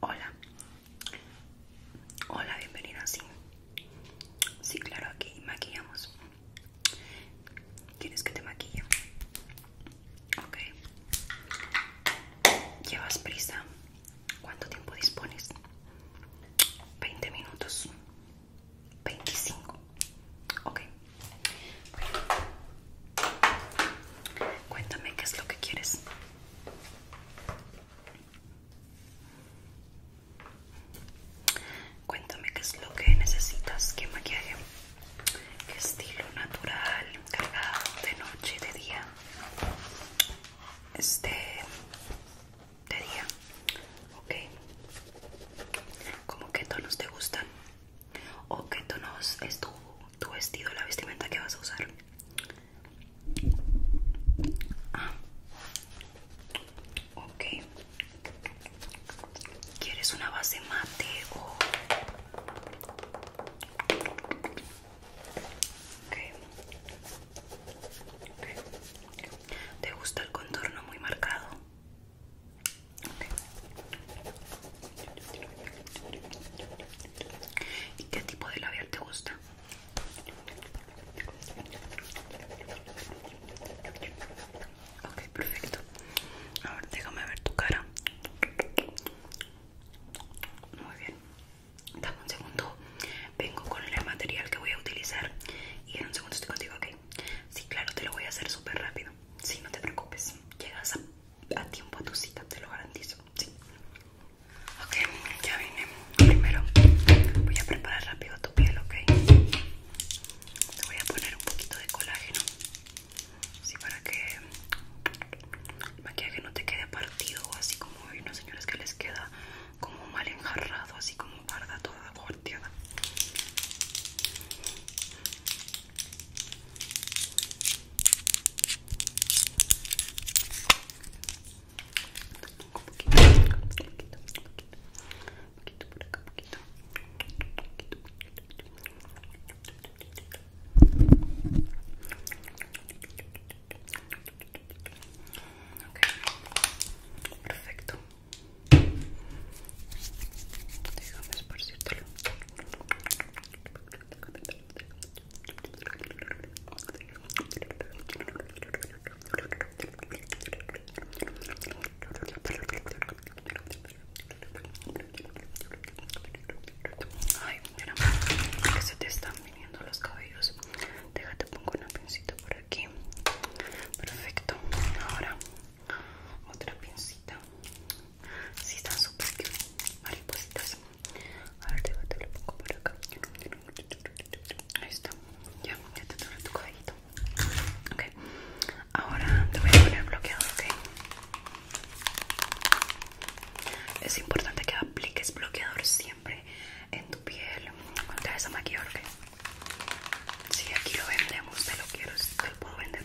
Hola, hola, bienvenido. sí, sí, claro, aquí maquillamos. Tienes que te maquille? Ok. ¿Llevas prisa? ¿Cuánto tiempo dispones? 20 minutos. 25. Ok. Cuéntame qué es lo que quieres. Cuéntame qué es lo que necesitas, qué maquillaje, qué estilo natural, cargado, de noche, de día. Este, de día, ok. ¿Cómo qué tonos te gustan? ¿O qué tonos es tu, tu vestido, la vestimenta que vas a usar? Ah. Ok, ¿Quieres una base mate o.? ¿Te gusta el contorno muy marcado? ¿Y qué tipo de labial te gusta? Ok, perfecto. A ver, déjame ver tu cara. Muy bien. Dame un segundo. Vengo con el material que voy a utilizar y en un segundo estoy contigo, ok. Sí, claro, te lo voy a hacer súper rápido. Sí, no te preocupes. Llegas a, tiempo a tu cita, te lo garantizo. Sí. Ok, ya vine. Primero voy a preparar rápido tu piel, ok. Te voy a poner un poquito de colágeno. Así para que el maquillaje no te quede partido, así como hay unas señoras que les queda como mal enjarrado, así como guarda toda volteada. poquito por acá, poquito. poquito, poquito. Okay. perfecto déjame esparcírtelo Ay, mira, que se te están viniendo los cabellos. Déjate, pongo una pincita por aquí. Perfecto. Ahora, otra pincita. Sí, están súper maripositas. A ver, déjate, lo pongo por acá. Ahí está. Ya, ya te trae tu cabellito. Ok, Ahora te voy a poner bloqueador, ¿ok? Es importante que apliques bloqueador siempre en tu piel. Te esa maquillaje. ¿ok? Si aquí lo vendemos, te lo quiero, te lo puedo vender.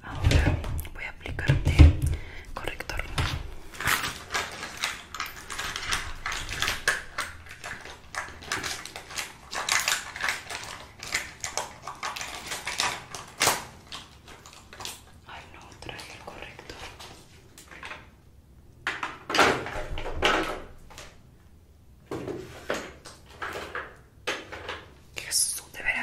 Ahora voy a aplicarte corrector. Ay no, trae el corrector. Yes de pero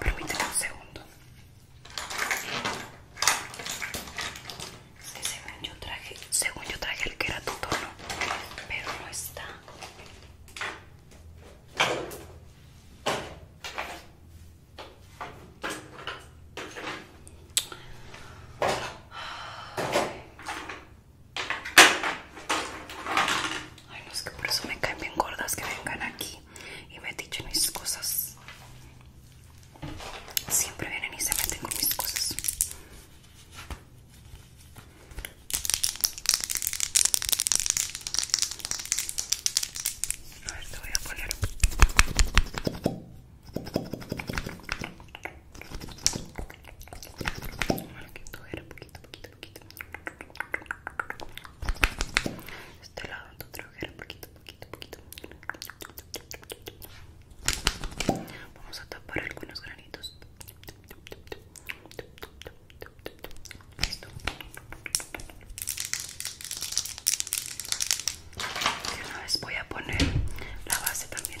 Permíteme un segundo. Es según yo traje, según yo traje el que era tu tono, pero no está. Ay, no es que por eso me caen bien gordas que vengan aquí y me dichen mis cosas. Siempre vienen y se meten con mis cosas. A ver, te voy a poner. Bueno, era poquito, poquito poquito, poquito. Este lado que era un poquito, poquito, poquito. Vamos a tapar algunos granitos. Listo. Y una vez voy a poner la base también.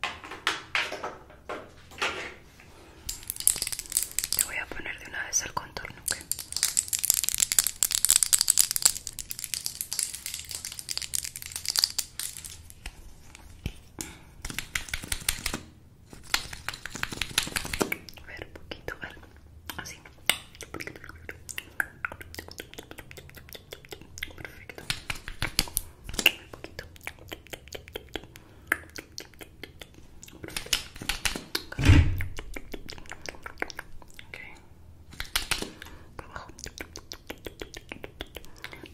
Te voy a poner de una vez el contorno, ¿ok? A ver, un poquito, a ver, así. Perfecto. Un poquito. Okay. Por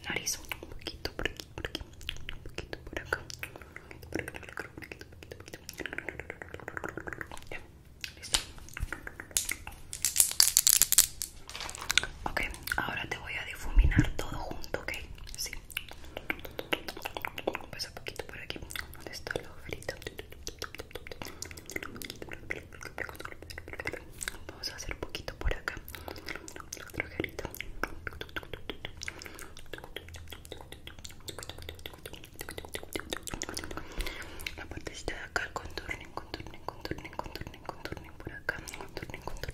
Nariz, un poquito por aquí, por aquí, un poquito por acá. Por aquí, por acá, un poquito, poquito, listo. Ok, ahora te voy a difuminar todo junto, ok? Pasa un poquito por aquí. ¿Dónde está la oferita? Vamos a hacer un poquito por acá. Otra ojerita. La partecita de acá, contornen, contornen, contornen, contornen, contornen por acá, contornen, contornen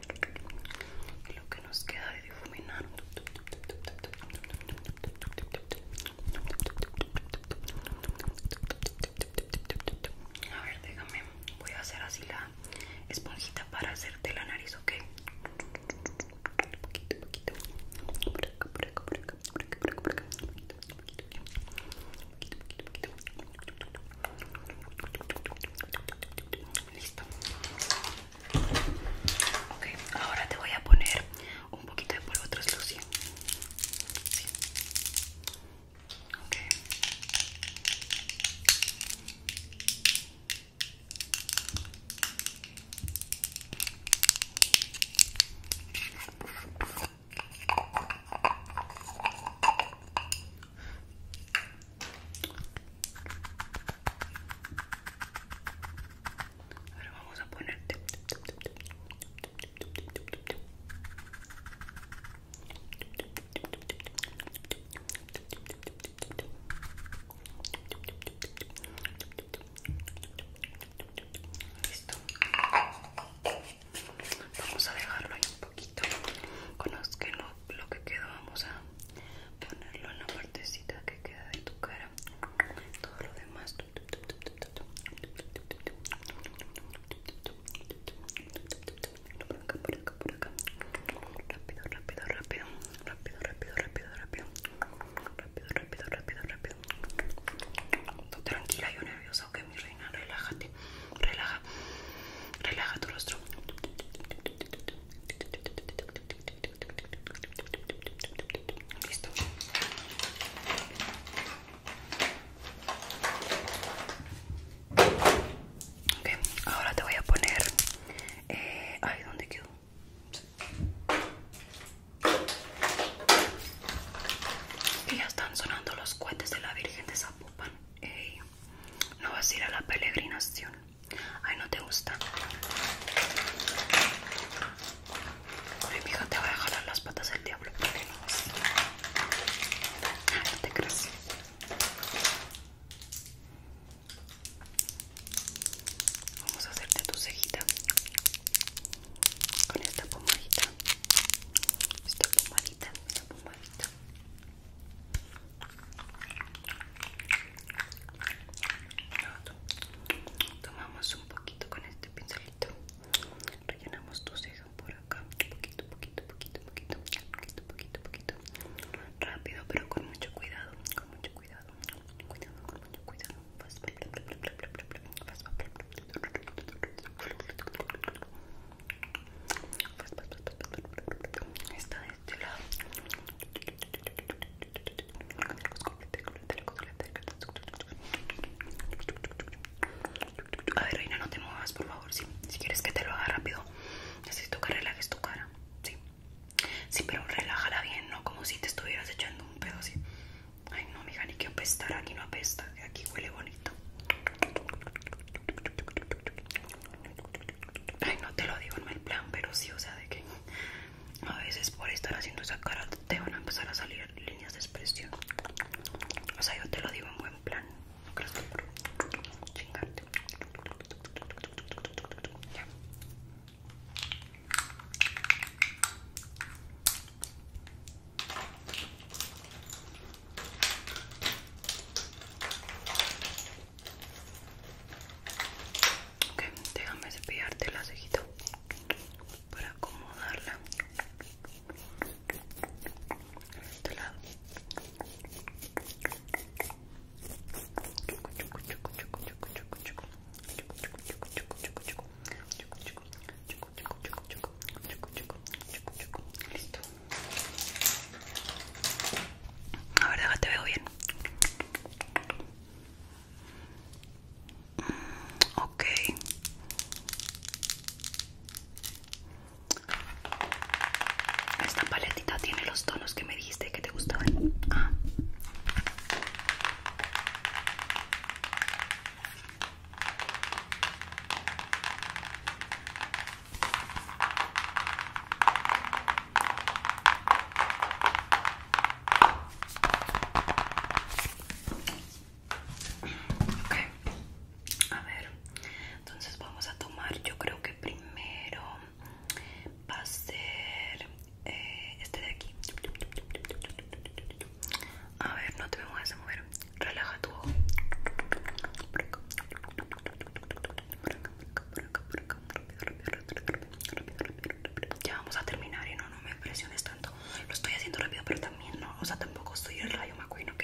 lo que nos queda de difuminar A ver, déjame, voy a hacer así la esponjita para hacerte la nariz, ¿ok? Listo. Okay, ahora te voy a poner un poquito de polvo translucido. Ahora vamos a poner listo vamos a dejarlo ahí un poquito con lo que quedó vamos a ponerlo en la partecita que queda de tu cara todo lo demás rápido, rápido, rápido rápido, rápido, rápido, rápido rápido, rápido, rápido, rápido tranquila, yo nerviosa, ok mi reina, relájate relaja, relaja tu rostro Listo. Ok, ahora te voy a poner... ¿Ahí eh, ay, ¿dónde quedó? ya están sonando los cohetes de la Virgen de Zapopan. no vas a ir a la peregrinación. Ay, no te gusta. Mi mija, te va a jalar las patas el diablo. ¿Por que no? no te creas. Vamos a hacerte tu cejita con esta pomadita. Esta pomadita, esta pomadita. Tomamos un poquito con este pincelito. Rellenamos tu ceja por acá. Poquito, poquito, poquito, poquito. Poquito, Rápido, pero con mucho cuidado. Con mucho cuidado. con mucho cuidado. De lado a ver reina no te muevas por favor si quieres que te lo haga rápido necesito que relajes tu cara sí sí pero relájala bien no como si te estuvieras echando un pedo así ay no mija ni que apestar aquí no apesta aquí huele bonito Ay, no te lo digo en el plan, pero sí, o sea, de que a veces por estar haciendo esa cara te van a empezar a salir líneas de expresión. O sea, yo te lo digo en buen plan. No que por chingarte déjame cepillarte la cejita para acomodarla este A ver, veo bien. Okay. Esta paletita tiene los tonos que me dijiste que te gustaban. Ah. Ok, a ver, entonces vamos a tomar, yo creo que primero va a ser eh, este de aquí. A ver, no te me muevas a mover, relaja tu ojo. Ya vamos a terminar y no, no me presiones tanto. Lo estoy haciendo rápido, pero también no. O sea, tampoco estoy el rayo McQueen, ¿ok?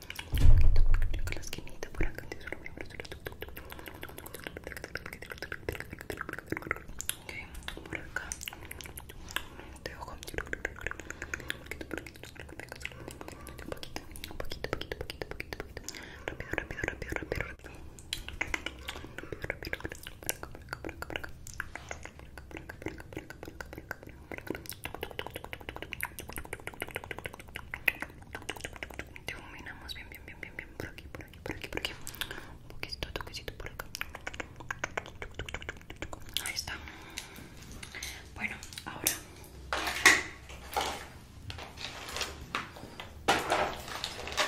con la okay, por acá te ojo un poquito, un poquito, poquito, poquito, poquito, poquito rápido, rápido, rápido, rápido, difuminamos bien, bien, bien, bien, bien por aquí, por aquí, por aquí, por aquí. Un poquito, toquecito por acá. Ahí está. Bueno, ahora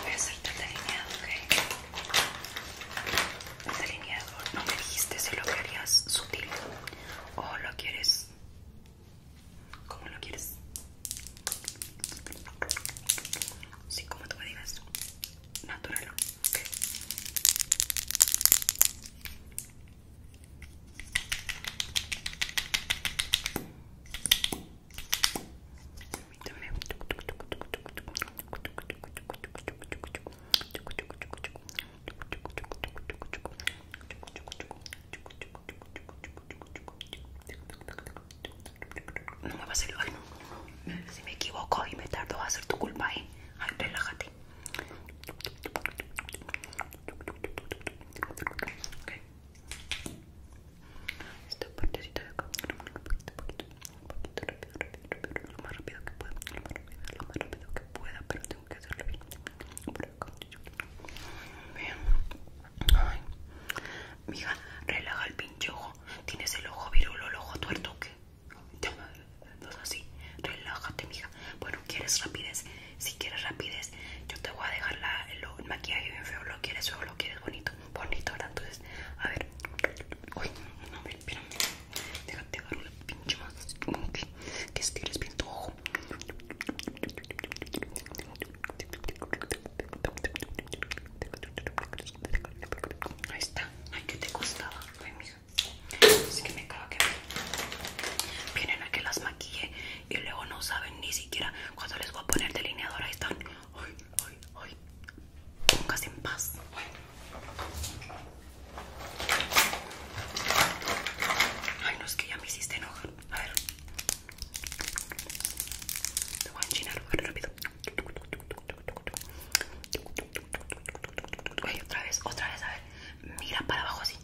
voy a hacerte el delineado, ¿ok? El alineador no me dijiste si lo querías sutil o lo quieres como lo quieres? Sí, como tú me digas. Natural. No me va a hacerlo, si me equivoco y me tardo va a ser tu culpa, ¿eh? Ay, relájate. Okay. Esta de acá, un poquito, un poquito rápido, lo más rápido que pueda, lo más rápido, lo más rápido que pueda, pero tengo que hacerlo bien. Ay, mija, relaja el pinche ojo. Tienes el ojo virulo, el ojo tuerto, ¿qué? es así, relájate, mija. Bueno, ¿quieres rapidez? Si quieres rapidez, yo te voy a dejar la, el, maquillaje bien feo. ¿Lo quieres feo? ¿Lo quieres bonito? Bonito, ¿verdad? Entonces, a ver. Uy, no, espérame. Déjate agarrar el pinche más. Que estires bien tu ojo. Ahí está. Ay, que te costaba. Ay, mija. Así que me acabo que vienen a que las maquille y luego no saben ni siquiera cuando les voy a poner delineador. Ahí están. Ay, ay, ay. Póngase en paz. Ay. Ay, no es que ya me hiciste enojar. A ver. Te voy a enchinar rápido. otra vez, otra vez, a ver. Mira para abajo así.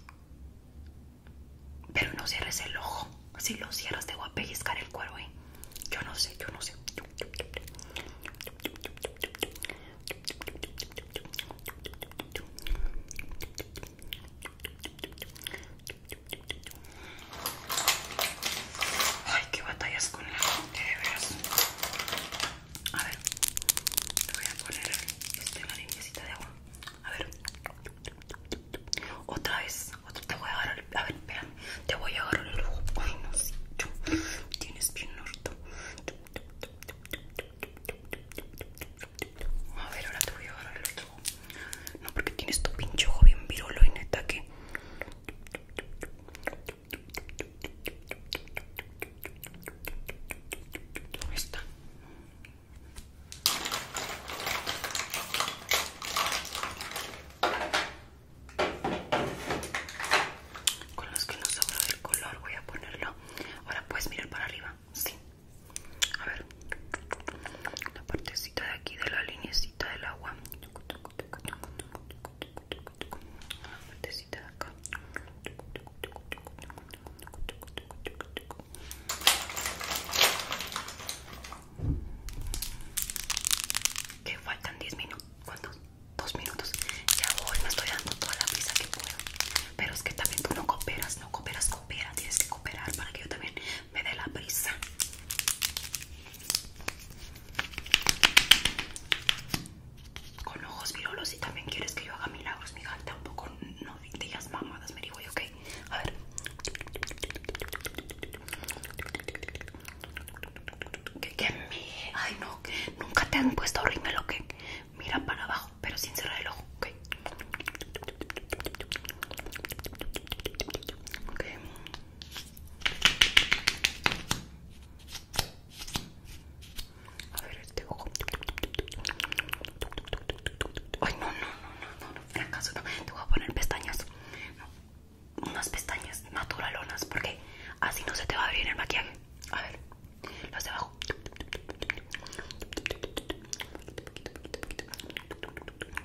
Pero no cierres el ojo. Si lo cierras te voy a pellizcar el cuero, ¿eh? Yo no sé, yo no sé. Ay, qué batallas con la gente, de veras. A ver, te voy a poner este, la de agua. A ver, otra vez, te voy a agarrar. A ver, vean te voy a agarrar el ojo. Ay, no, sé tienes bien norto. A ver, ahora te voy a agarrar el otro. No, porque tienes tu pinche ojo bien virolo y neta que. está? Con los que no sobró del color voy a ponerlo. Ahora puedes mirar para arriba. Sí. A ver, la partecita de aquí de la linecita del agua. La partecita de acá. Que faltan 10 minutos. ¿Cuántos? Dos minutos. Ya voy, me estoy dando toda la prisa que puedo. Pero es que también tú no cooperas, no cooperas, cooperas. Tienes que cooperar para que yo también me dé la prisa. Con ojos virolos y también quieres que yo haga milagros, mi gata. Un poco no digas mamadas, me digo yo, ok. A ver. Que, ¿Qué me... Ay, no, nunca te han puesto rímel, que Mira para abajo, pero sin cerrar el ojo, ok. Okay. A ver este ojo. Ay, no, no, no, no, no, no. Te voy a poner pestañas. Unas pestañas naturalonas, porque así no se te va a abrir el maquillaje. A ver, las de abajo.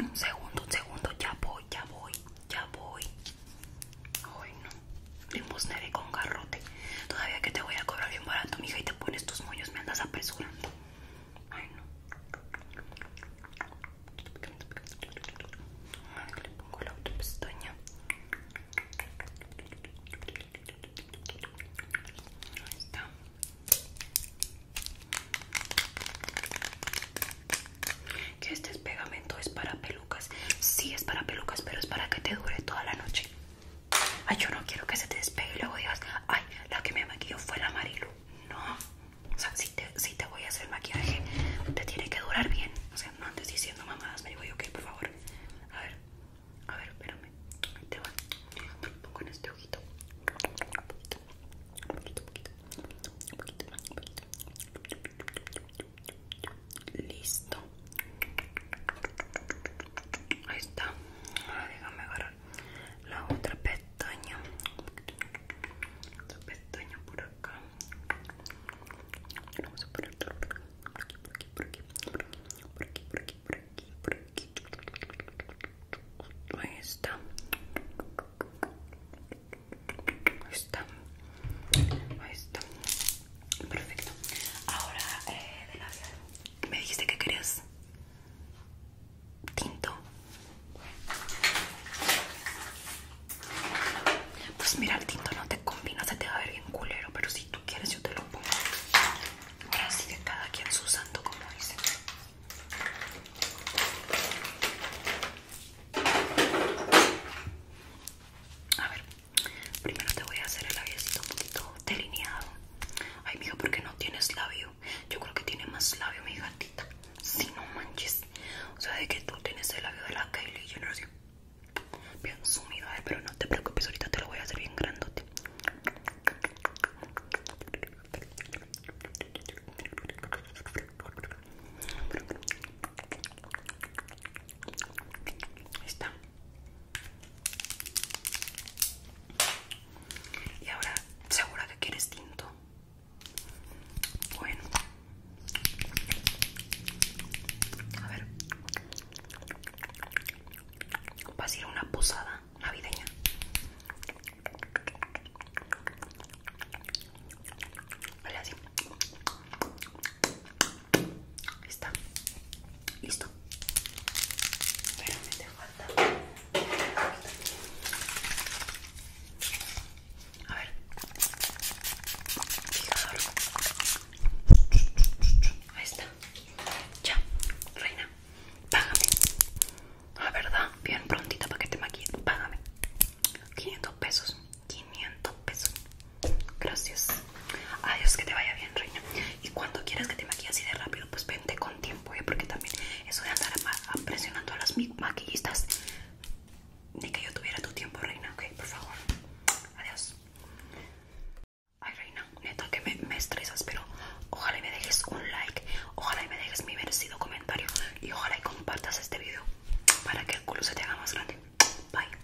Un segundo, un segundo, ya voy, ya voy, ya voy. Ay, no limosne con garrote. Todavía que te voy a cobrar bien barato, mija, y te pones tus moños, me andas apresurando. Ay, no. le pongo la otra pestaña. Ahí Que este pegamento, es para pelucas. si es para pelucas, pero es para que te dure toda la noche. Ay, yo no quiero que se te despegue y luego digas, ay, la que me maquilló fue la Marilu. No, o sea, si te, si te voy a hacer maquillaje, te tiene que durar bien. O sea, no andes diciendo mamadas, me digo yo, ok, por favor. A ver, a ver, espérame. te voy Te pongo en este ojito. un poquito, un poquito, un poquito, un poquito, un poquito. Listo. Ahí está. Ahora déjame agarrar la otra pestaña. Otra pestaña por acá. Vamos a poner por por aquí, por aquí, por aquí, por aquí, por aquí, por aquí, por aquí. Ahí está. Ahí está. Ahí está. Perfecto. Ahora, eh, de Me dijiste que querías tinto. Pues mira, el tinto no te combina, se te va a ver bien culero, pero si tú quieres yo te lo pongo. Así de cada quien su santo, como dice. A ver, Primero te voy a hacer el labiecito un poquito delineado. Ay, mija, ¿por qué no tienes labio? Yo creo que tiene más labio mi gatita. Si no manches. O sea, de que tú tienes el labio de la Kylie Jenner sé bien sumido. pero no te preocupes, ahorita te lo voy a hacer bien grandote está. Y ahora, ¿segura que quieres tinto? Bueno. A ver. ¿Vas a ir a una posada navideña? así. Ahí está. Listo. Pero falta. A ver. Ahí está. Ya, reina. Págame. La verdad, bien prontita para que te maquille, Págame. 500 pesos. 500 pesos. Gracias. Adiós, que te vaya bien, reina. Y cuando quieras que te maquille así de rápido, pues vente con tiempo, ¿eh? porque también eso de andar presionando a las maquillistas, ni que yo tuviera tu tiempo, reina, ok, por favor. Adiós. Ay, reina, neta que me, me estresas, pero ojalá y me dejes un like, ojalá y me dejes mi merecido comentario y ojalá y compartas este video para que el culo se te haga más grande. Bye.